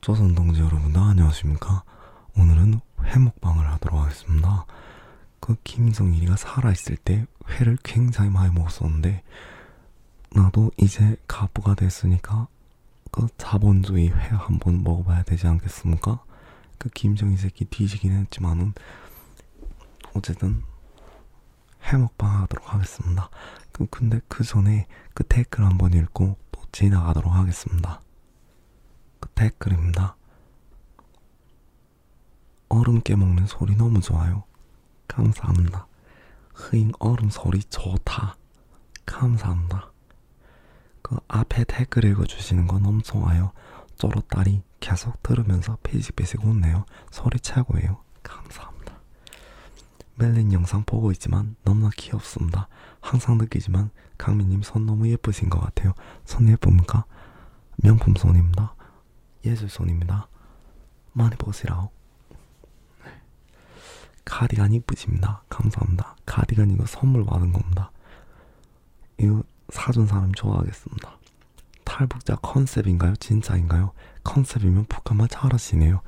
조선 동지 여러분 안녕하십니까 오늘은 회먹방을 하도록 하겠습니다 그 김성일이가 살아있을 때 회를 굉장히 많이 먹었었는데 나도 이제 가부가 됐으니까 그 자본주의 회 한번 먹어봐야 되지 않겠습니까? 그 김정희 새끼 뒤지긴 했지만은 어쨌든 해먹방 하도록 하겠습니다. 그 근데 그 전에 그 댓글 한번 읽고 또 지나가도록 하겠습니다. 그 댓글입니다. 얼음 깨먹는 소리 너무 좋아요. 감사합니다. 흐잉 얼음 소리 좋다. 감사합니다. 그 앞에 댓글 읽어주시는 건 너무 좋아요. 쪼로딸이 계속 들으면서 피식피식 웃네요. 소리 최고예요. 감사합니다. 멜린 영상 보고 있지만 너무나 귀엽습니다. 항상 느끼지만 강민님 손 너무 예쁘신 것 같아요. 손 예쁩니까? 명품 손입니다. 예술손입니다. 많이 보시라오. 네. 카디간 이쁘십니다. 감사합니다. 카디간 이거 선물 받은 겁니다. 이거 사준 사람 좋아하겠습니다. 탈북자 컨셉인가요? 진짜인가요? 컨셉이면 북한말 잘하시네요.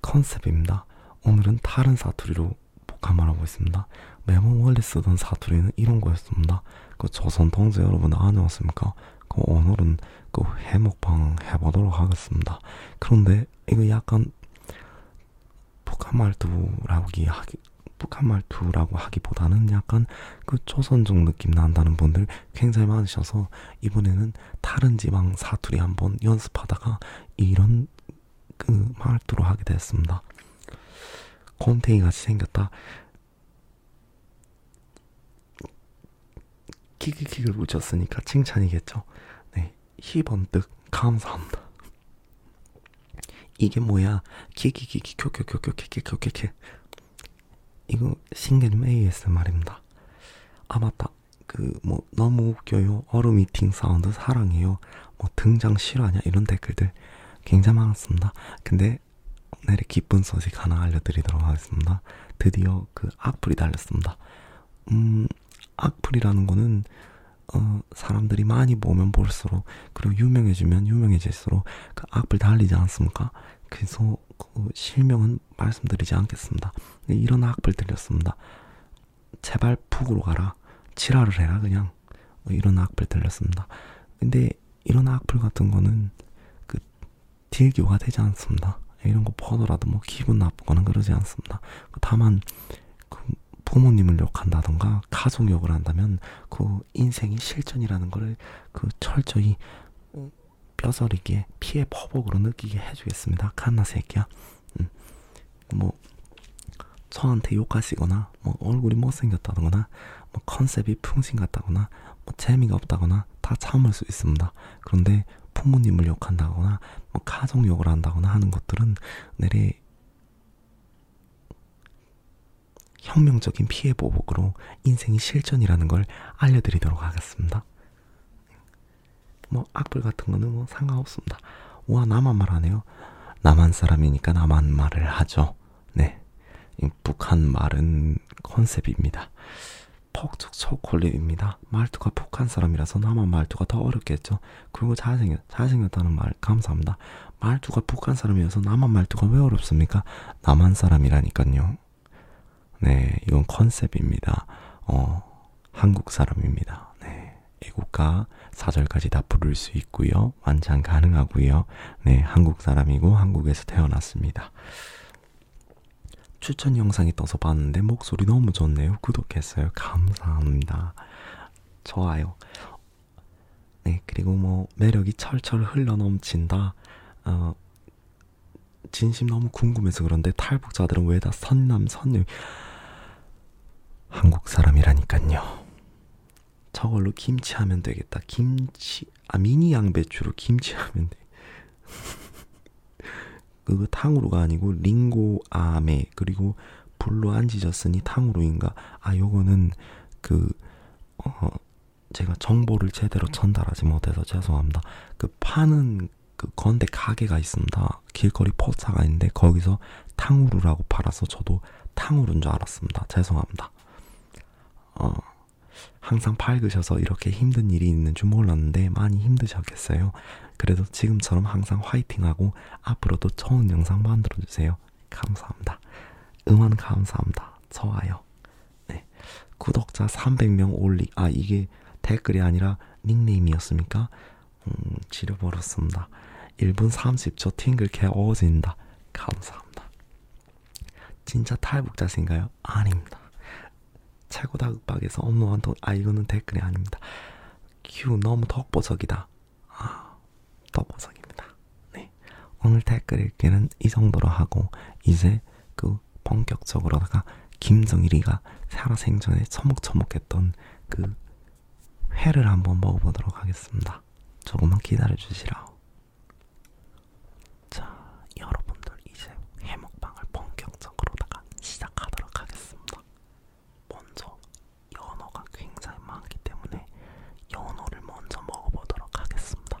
컨셉입니다. 오늘은 다른 사투리로 북한말 하고 있습니다. 매번 원래 쓰던 사투리는 이런 거였습니다. 그 조선 동지 여러분 안녕하십니까? 그 오늘은 그 해먹방 해보도록 하겠습니다. 그런데 이거 약간 북한 말투라고 하기 북한 말투라고 하기보다는 약간 그 조선족 느낌 난다는 분들 굉장히 많으셔서 이번에는 다른 지방 사투리 한번 연습하다가 이런 그 말투로 하게 됐습니다. 곰탱이 같이 생겼다. 키키킥을 붙였으니까 칭찬이겠죠. 네, 희번뜩 감사합니다. 이게 뭐야? 키키키키 켜켜켜켜켜켜켜켜 이거 신개념 ASMR입니다. 아 맞다. 그뭐 너무 웃겨요. 어루 미팅 사운드 사랑해요. 뭐 등장 실화냐 이런 댓글들 굉장히 많았습니다. 근데 오늘의 네, 기쁜 소식 하나 알려드리도록 하겠습니다. 드디어 그 악플이 달렸습니다. 음, 악플이라는 거는 어, 사람들이 많이 보면 볼수록 그리고 유명해지면 유명해질수록 그 악플 달리지 않습니까? 그래서 그 실명은 말씀드리지 않겠습니다. 네, 이런 악플 들렸습니다. 제발 북으로 가라. 치라를 해라 그냥 그냥 뭐 이런 악플 달렸습니다. 근데 이런 악플 같은 거는 그 딜교가 되지 않습니다. 이런 거 보더라도 뭐 기분 나쁘거나 그러지 않습니다. 그 다만 그 부모님을 욕한다던가 가족 욕을 한다면 그 인생이 실전이라는 걸그 철저히 뼈저리게 피해 퍼복으로 느끼게 해주겠습니다. 칸나 새끼야. 음. 뭐 저한테 욕하시거나 뭐 얼굴이 못생겼다거나 뭐 컨셉이 풍신 같다거나 뭐 재미가 없다거나 다 참을 수 있습니다. 그런데 부모님을 욕한다거나 뭐 가족욕을 한다거나 하는 것들은 내래 혁명적인 피해 보복으로 인생이 실전이라는 걸 알려드리도록 하겠습니다. 뭐 악플 같은 거는 뭐 상관없습니다. 와 나만 말하네요. 남한 사람이니까 남한 말을 하죠. 네. 북한 말은 컨셉입니다. 폭죽 초콜릿입니다. 말투가 북한 사람이라서 남한 말투가 더 어렵겠죠. 그리고 잘생겼, 잘생겼다는 말 감사합니다. 말투가 북한 사람이어서 남한 말투가 왜 어렵습니까? 남한 사람이라니까요. 네, 이건 컨셉입니다. 어, 한국 사람입니다. 네, 애국가 4절까지 다 부를 수 있고요. 완창 가능하고요. 네, 한국 사람이고 한국에서 태어났습니다. 추천 영상이 떠서 봤는데 목소리 너무 좋네요. 구독했어요. 감사합니다. 좋아요. 네, 그리고 뭐 매력이 철철 흘러넘친다. 어, 진심 너무 궁금해서 그런데 탈북자들은 왜 다 선남 선녀 한국 사람이라니까요. 저걸로 김치 하면 되겠다. 김치, 아, 미니 양배추로 김치 하면 돼. 그거 탕후루가 아니고 링고 아메 그리고 불로 안 지졌으니 탕후루인가 아 요거는 그 어, 제가 정보를 제대로 전달하지 못해서 죄송합니다 그 파는 그 건대 가게가 있습니다 길거리 포차가 있는데 거기서 탕후루라고 팔아서 저도 탕후루인 줄 알았습니다. 죄송합니다. 어, 항상 밝으셔서 이렇게 힘든 일이 있는 줄 몰랐는데 많이 힘드셨겠어요. 그래도 지금처럼 항상 화이팅하고 앞으로도 좋은 영상 만들어주세요. 감사합니다. 응원 감사합니다. 좋아요. 네. 구독자 300명 올리, 아, 이게 댓글이 아니라 닉네임이었습니까? 음, 지려버렸습니다. 1분 30초 팅글캐 어워진다. 감사합니다. 진짜 탈북자신가요? 아닙니다. 최고다 극박에서 업무한 돈, 아, 이거는 댓글이 아닙니다. 큐, 너무 덕보적이다. 아, 덕보적입니다. 네. 오늘 댓글 읽기는 이 정도로 하고, 이제 그 본격적으로다가 김정일이가 살아생전에 처목처목했던 그 회를 한번 먹어보도록 하겠습니다. 조금만 기다려 주시라. 자, 여러분들 이제 회 먹방을 본격적으로다가 시작하도록 하겠습니다. 먼저 연어가 굉장히 많기 때문에 연어를 먼저 먹어보도록 하겠습니다.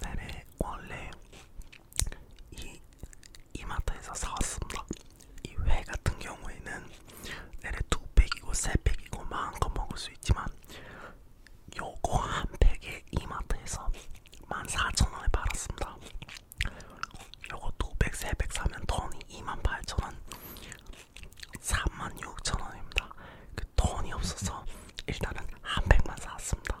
네네 원래 이 이마트에서 사왔습니다. 이 회 같은 경우에는 내래 두 팩이고 세 팩이고 마음껏 먹을 수 있지만 요거 한 팩에 이마트에서 14,000원에 팔았습니다. 요거 두 팩, 세팩 사면 돈이 28,000원, 36,000원입니다. 그 돈이 없어서 일단은 한 백만 사왔습니다.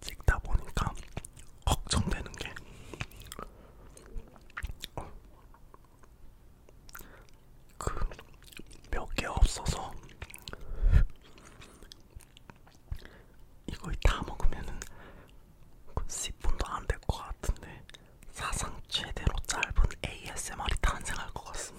찍다 보니까 걱정되는 게 그 몇 개 없어서 이거 다 먹으면은 10분도 그 안될 것 같은데 사상 최대로 짧은 ASMR이 탄생할 것 같습니다.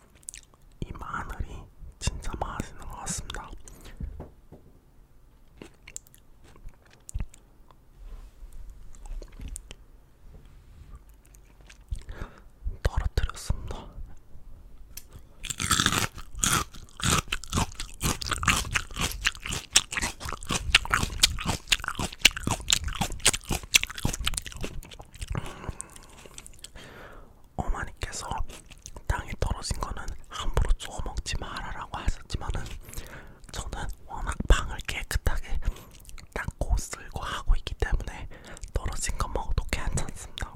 이 마늘이 진짜 맛있는 것 같습니다. 떨어뜨렸습니다. 어머니께서 땅에 떨어진 거는 함부로 주워 먹지 말아라고 하셨지만은 저는 워낙 방을 깨끗하게 닦고 쓸고 하고 있기 때문에 떨어진 거 먹어도 괜찮습니다.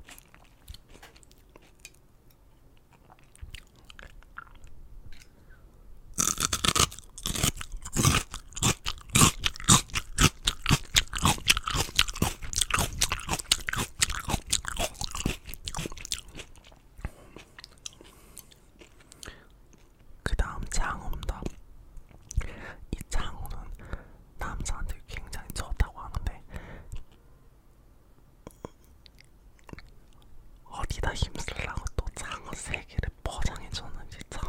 그 다음 장어입니다. 이 장어는 남자한테 굉장히 좋다고 하는데 어디다 힘쓰려고 또 장어 세 개를 포장해 줬는지 참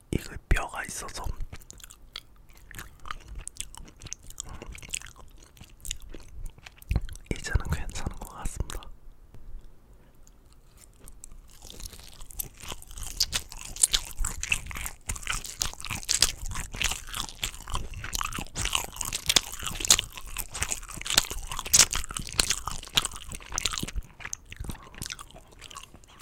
이거 뼈가 있어서 이제는 괜찮은 것 같습니다.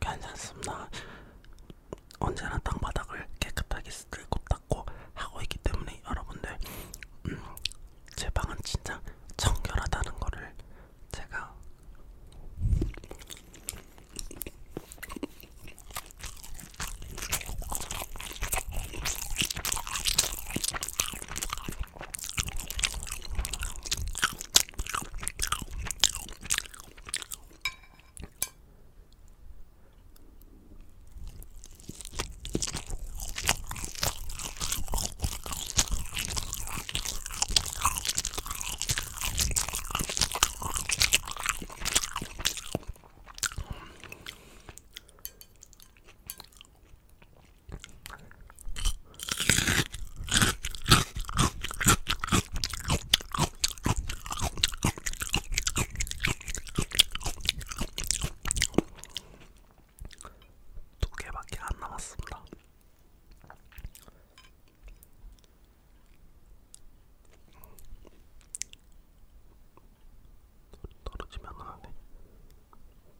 괜찮습니다. 언제나 땅바닥을 깨끗하게 쓸고 닦고 하고 있기 때문에 여러분들 음, 제 방은 진짜 청결하다는 거를 제가 두 개밖에 안 남았습니다. 떨어지면 안 돼.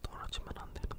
떨어지면 안 되는데.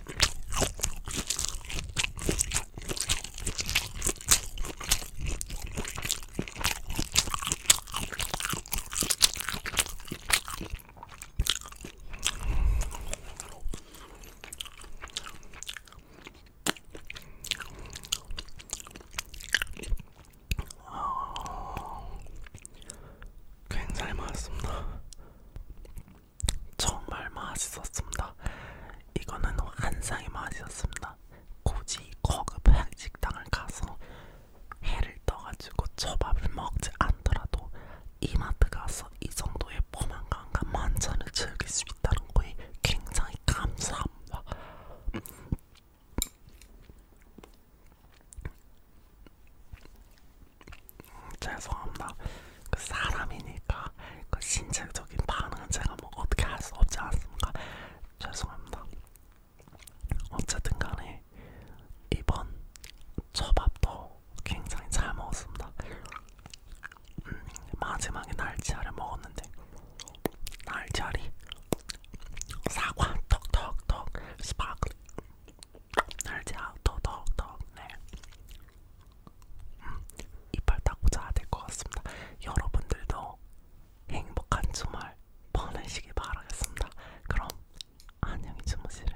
굉장히 맛있습니다. 정말 맛있었습니다. 이거는 한상이 맛이었습니다. 굳이 고급 한식당을 가서 해를 떠가지고 초밥을 먹지 않더라도 이마트 가서 이 정도의 포만감과 만찬을 즐길 수 있다는 거에 굉장히 감사합니다. 음, 죄송합니다. 그 사람이니까 그 신체적인 반응은 제가 뭐 어떻게 할 수 없지 않습니까? 죄송합니다. 어쨌든 간에 이번 초밥도 굉장히 잘 먹었습니다. 음, 마지막에 날치알을 먹었는데 날치알이 사과 톡톡톡 스파클 날치알 톡톡톡 네 음, 이빨 닦고 자야 될 것 같습니다. 여러분들도 행복한 주말 보내시길 바라겠습니다. 그럼 안녕히 주무시래요.